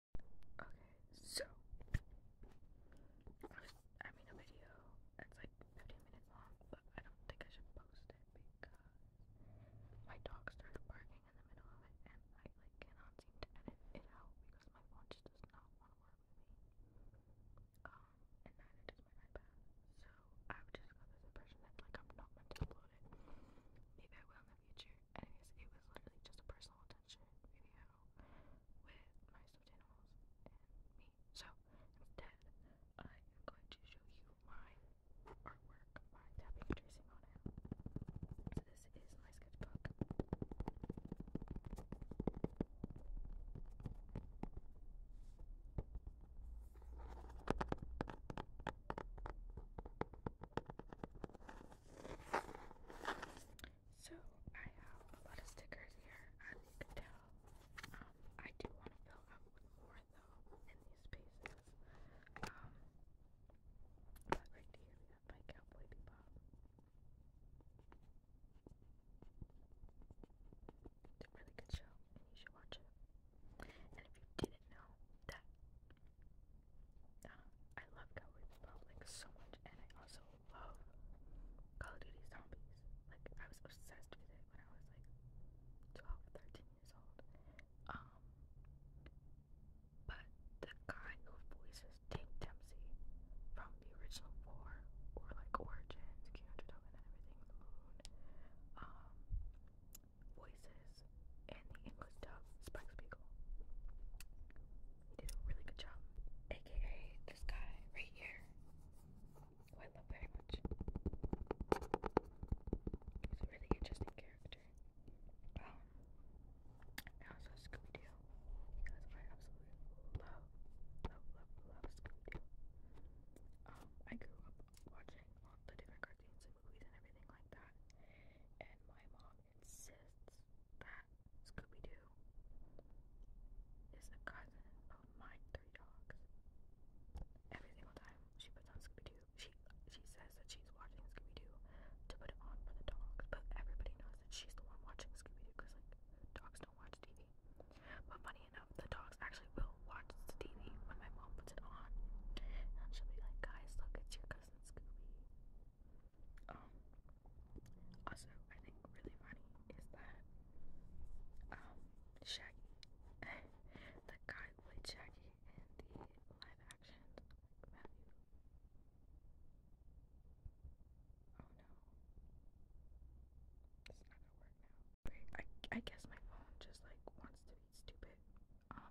Okay, so I made a video that's like 15 minutes long, but I don't think I should post it because my dog started barking in the middle of it and I like cannot seem to edit it out because my phone just does not want to work with me. Um and neither does my iPad. So I've just got this impression that like I'm not meant to upload it. Maybe I will in the future. Anyways, it was literally just a personal attention video with my stuffed animals and me. So instead, I am going to show you my artwork by tapping and tracing on it. So this is my sketchbook. So I have a lot of stickers here, as you can tell. Um, I do want to fill up with more though in these spaces. Um, but right here we have my cowboy bebop. It's a really good show, and you should watch it. And if you didn't know that uh, I love Cowboys Republic so much, and I also love Call of Duty Zombies. Like, I was obsessed with it when I was like 12, years old. Um, but the guy who voices Tim Dempsey from the original four, or like Origins, King of and everything, the moon, um, voices and the English dub Spiegel. He did a really good job. AKA this guy right here. Who I love very much. He's a really interesting character. Um and also Scooby Doo. Because I absolutely love, love, love, love Scooby Um, I grew up watching the different cartoons movies and everything like that. And my mom insists that Scooby Doo is a cousin of my three dogs. Every single time she puts on Scooby Doo, she she says that she's watching Scooby Doo to put it on for the dogs. But everybody knows that she's the one watching Scooby Doo because like dogs don't watch TV. But funny enough, the dogs actually will watch watch the TV when my mom puts it on. And she'll be like, guys, look, it's your cousin Scooby. Um, also, I think really funny is that, um, Shaggy, the guy who played Shaggy in the live action, Oh no. It's not gonna work now. I, I guess my phone just like wants to be stupid. Um,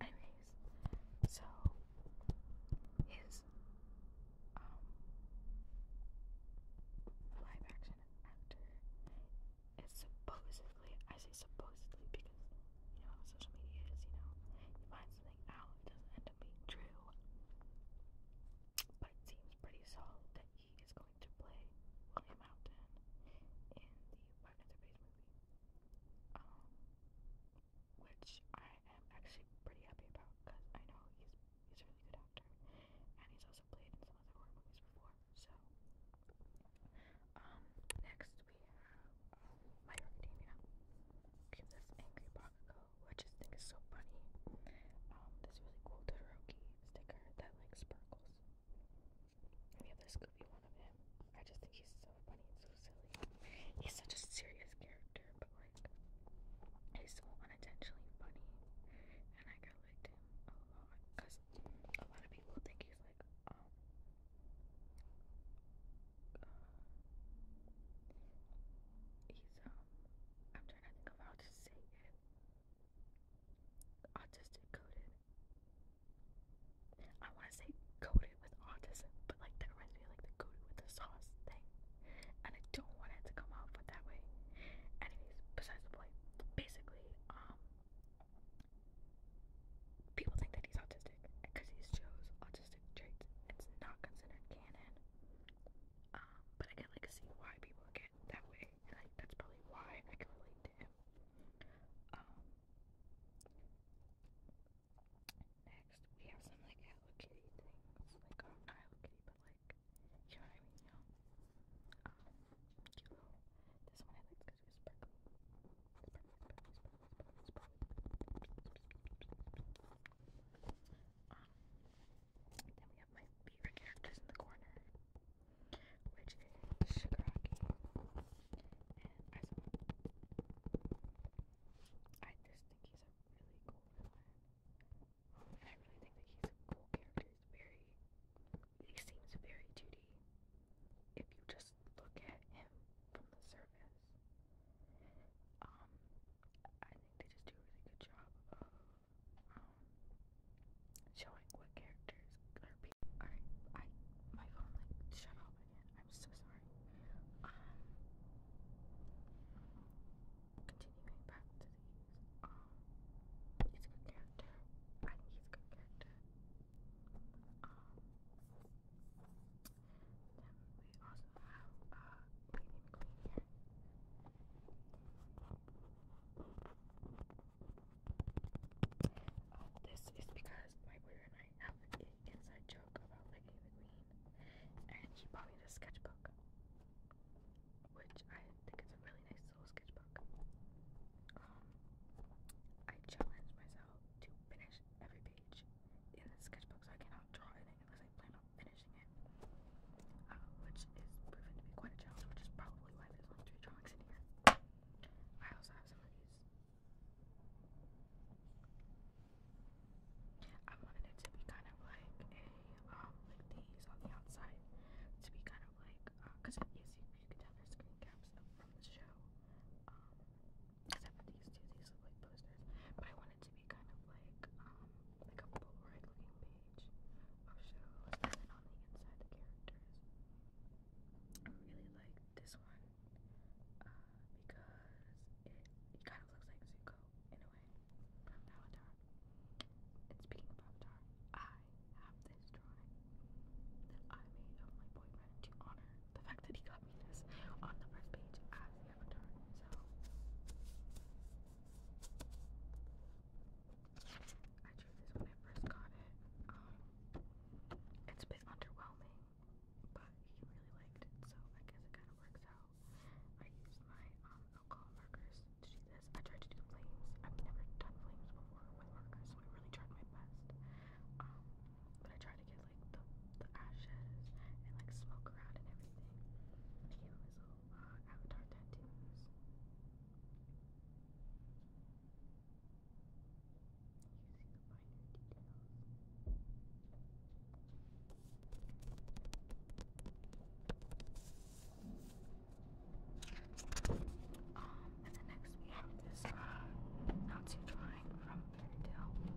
anyways, so his um, live action actor is supposedly I say supposedly because you know social media is, you know, you find something out, it doesn't end up being true. But it seems pretty solid that he is going to play William Mountain in the Five Nights at Base movie, um, which I am actually pretty happy about because I know he's he's a really good actor, and he's also played in some other horror movies before. So, um, next we have um, My Hero Academia. Angry Bakugo, which I think is so funny. Um, this really cool Todoroki sticker that like sparkles the other Scooby one of him. I just think he's so funny and so silly. He's such a serious character, but like, he's so unintentionally funny. And I kind of him a lot because a lot of people think he's like, um, uh, he's, um, I'm trying to think of how to say it. Autistic coded. I want to say coated with autism, but like that reminds me like the coated with the sauce thing. And I don't want it to come off but that way. Anyways, besides the point, basically, um, people think that he's autistic because he shows autistic traits. It's not considered canon. Um, but I can like see why people get that way like that's probably why I can relate to him. Um, next we have some like Hello Kitty things, like not Hello Kitty, but like you know what I mean, you know. Um, then we have my favorite characters in the corner, which is Shigaraki and I just think he's a really cool villain, I really think that he's a cool character. He's very, he seems very 2 If you just look at him from the surface, um, I think they just do a really good job um, showing what characters Alright, I my phone like shut off again. I'm so sorry. Um, continuing back to these. Um, he's a good character. I think he's a good character. Um, then we also have uh, Oh, this is because my brother and I have an inside joke about Lady the Queen, and she bought me a sketchbook, which I think is a really nice little sketchbook. Um, I challenge myself to finish every page in this sketchbook, so I cannot draw anything I plan on finishing it, uh, which is proven to be quite a challenge, which is probably why there's only three drawings in here. I also have some of these. I wanted it to be kind of like a, um, like these on the outside, to be kind of like, because uh, you, can tell there's screen caps from the show. Um, because these two, these look posters, but I want it to be kind of like um, like a Polaroid looking page of shows and then on the inside the characters. I really like this one uh, because it, it kind of looks like Zuko in a way from Avatar. And speaking of Avatar, I have this drawing I made of my boyfriend to honor the fact that he got me this on the first page as the Avatar. I tried this when I first got it. Um, it's a bit underwhelming, but he really liked it, so I guess it kind of works out. I used my um, alcohol markers to do this. I tried to do flames. I've never done flames before with markers, so I really tried my best. Um, but I tried to get like the the ashes and like smoke around and everything. I gave him his little uh, tattoos. You see finer details. Um, and the next one is uh, Not Too Drawing from Fairy Tale.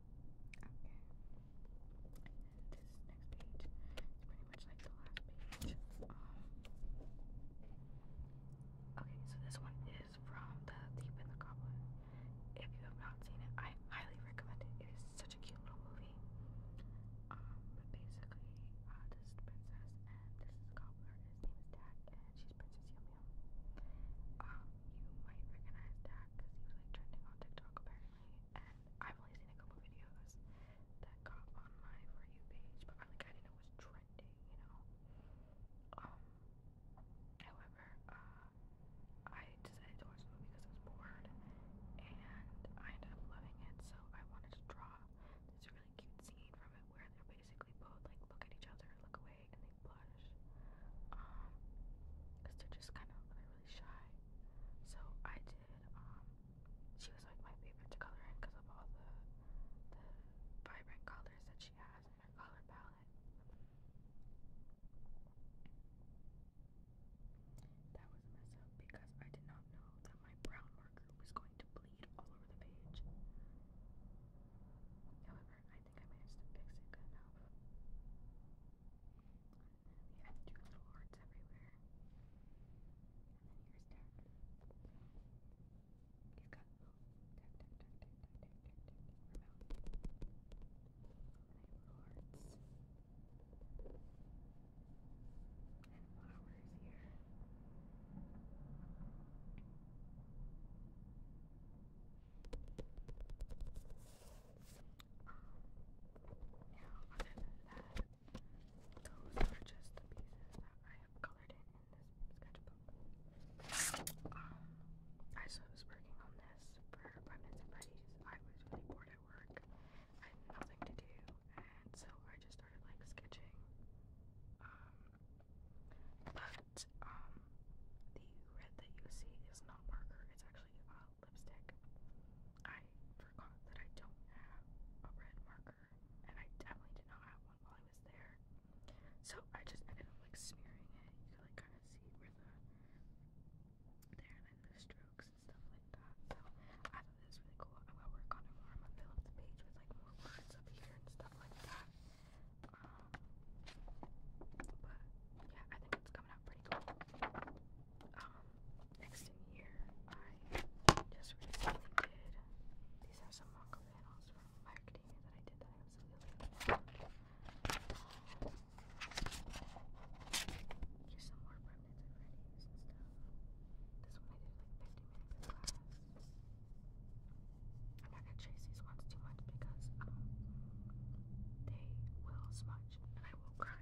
Okay. This next page is pretty much like the last page. okay, so this one is from The Thief and the Goblin. If you have not seen it, I highly recommend it. It is such a cute little movie. Um, basically, uh, this princess and this is the His name is Dak and she's Princess Yum um, you might recognize Dak because he was like trending on TikTok apparently. And I've only seen a couple videos that got on my for you page, but like I didn't know it was trending, you know. Um however, uh, I decided to watch the movie because I was bored and I ended up loving it, so I wanted to draw this really cute scene from it where they're basically both like look at each other, look away and they blush um they're just kind of really shy so i did um, she was like my favorite to color in because of all the the vibrant colors that she has in her color palette that was a mess up because i did not know that my brown marker was going to bleed all over the page however I think I managed to fix it good enough. And then we have two little hearts everywhere. And then here's Tack. You've got little Tack, Tack, Tack, Tack, Tack, Tack, Tack, Tack, her mouth. And I have little hearts. And flowers here. Now, other than that, those are just the pieces that I have colored in in this sketchbook. I was working on this for Abundance and Buddies. I was really bored at work. I had nothing to do, and so I just started like sketching. But um, the red that you see is not marker; it's actually uh, lipstick. I forgot that I don't have a red marker, and I definitely did not have one while I was there. So I just ended up like smearing it. You can like kind of see where the there and the strokes and stuff like that. So I thought this was really cool. I'm gonna work on it more. i fill up the page with like more words up here and stuff like that. Um, but yeah, I think it's coming out pretty cool. Um, next in here, I just recently did. These are some mock panels from my that I did that I absolutely love. Um, here's some more remnants of and stuff. This one I did like 50 minutes I gotta chase these ones too much because um, they will smudge and I will cry.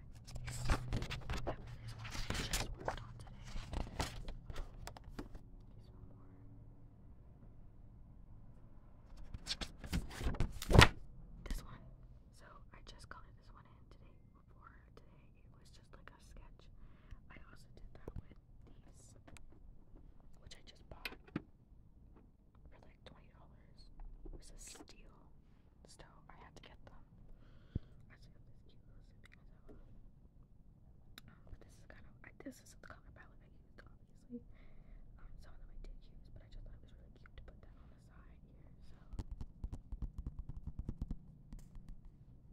That one is one I just worked on today. Here's one more. This one. So I just colored this one in today. Before today, it was just like a sketch. I also did that with these which I just bought for like $20. It was a steal, so I had to get them. I just got this cute little sipping as um, but this is kind of, this is the color palette I used, obviously. Um, some of them I did use, but I just thought it was really cute to put that on the side here, so.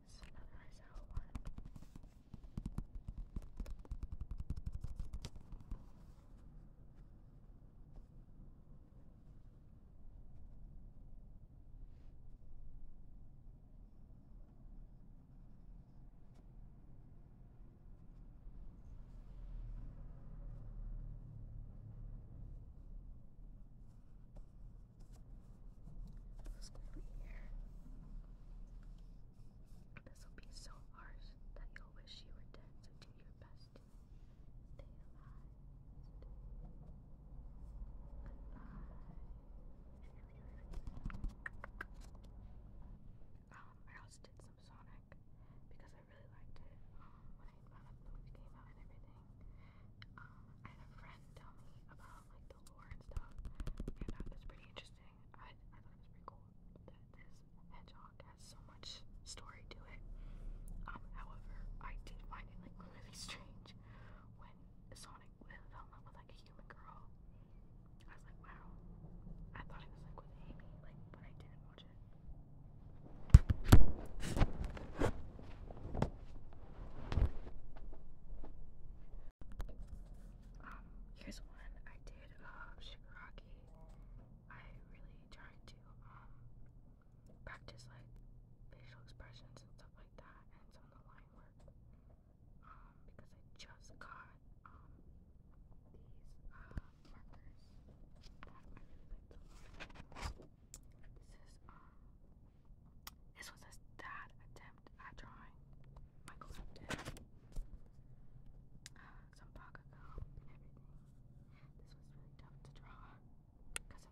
So that is how one. Who's going be here? This will be so harsh that you'll wish you were dead, so do your best to stay alive. Stay Um, I also did some Sonic because I really liked it um, when the movie came out and everything. Um, I had a tell me about like the lore and stuff. And uh, pretty interesting. I I thought it was pretty cool that this hedgehog has so much story to it. Um, however, I did find it like really strange when Sonic fell in love with like a human girl. I was like, wow. I thought it was like with like, but I didn't watch it. Um, here's one I did of uh, shigaraki. I really tried to um, practice like facial expressions and stuff like that and some line work um, because I just got um, these uh, markers that I really like to look This is um, this was a dad attempt at drawing Michael Lipton. some Bakugo and everything. This was really tough to draw because of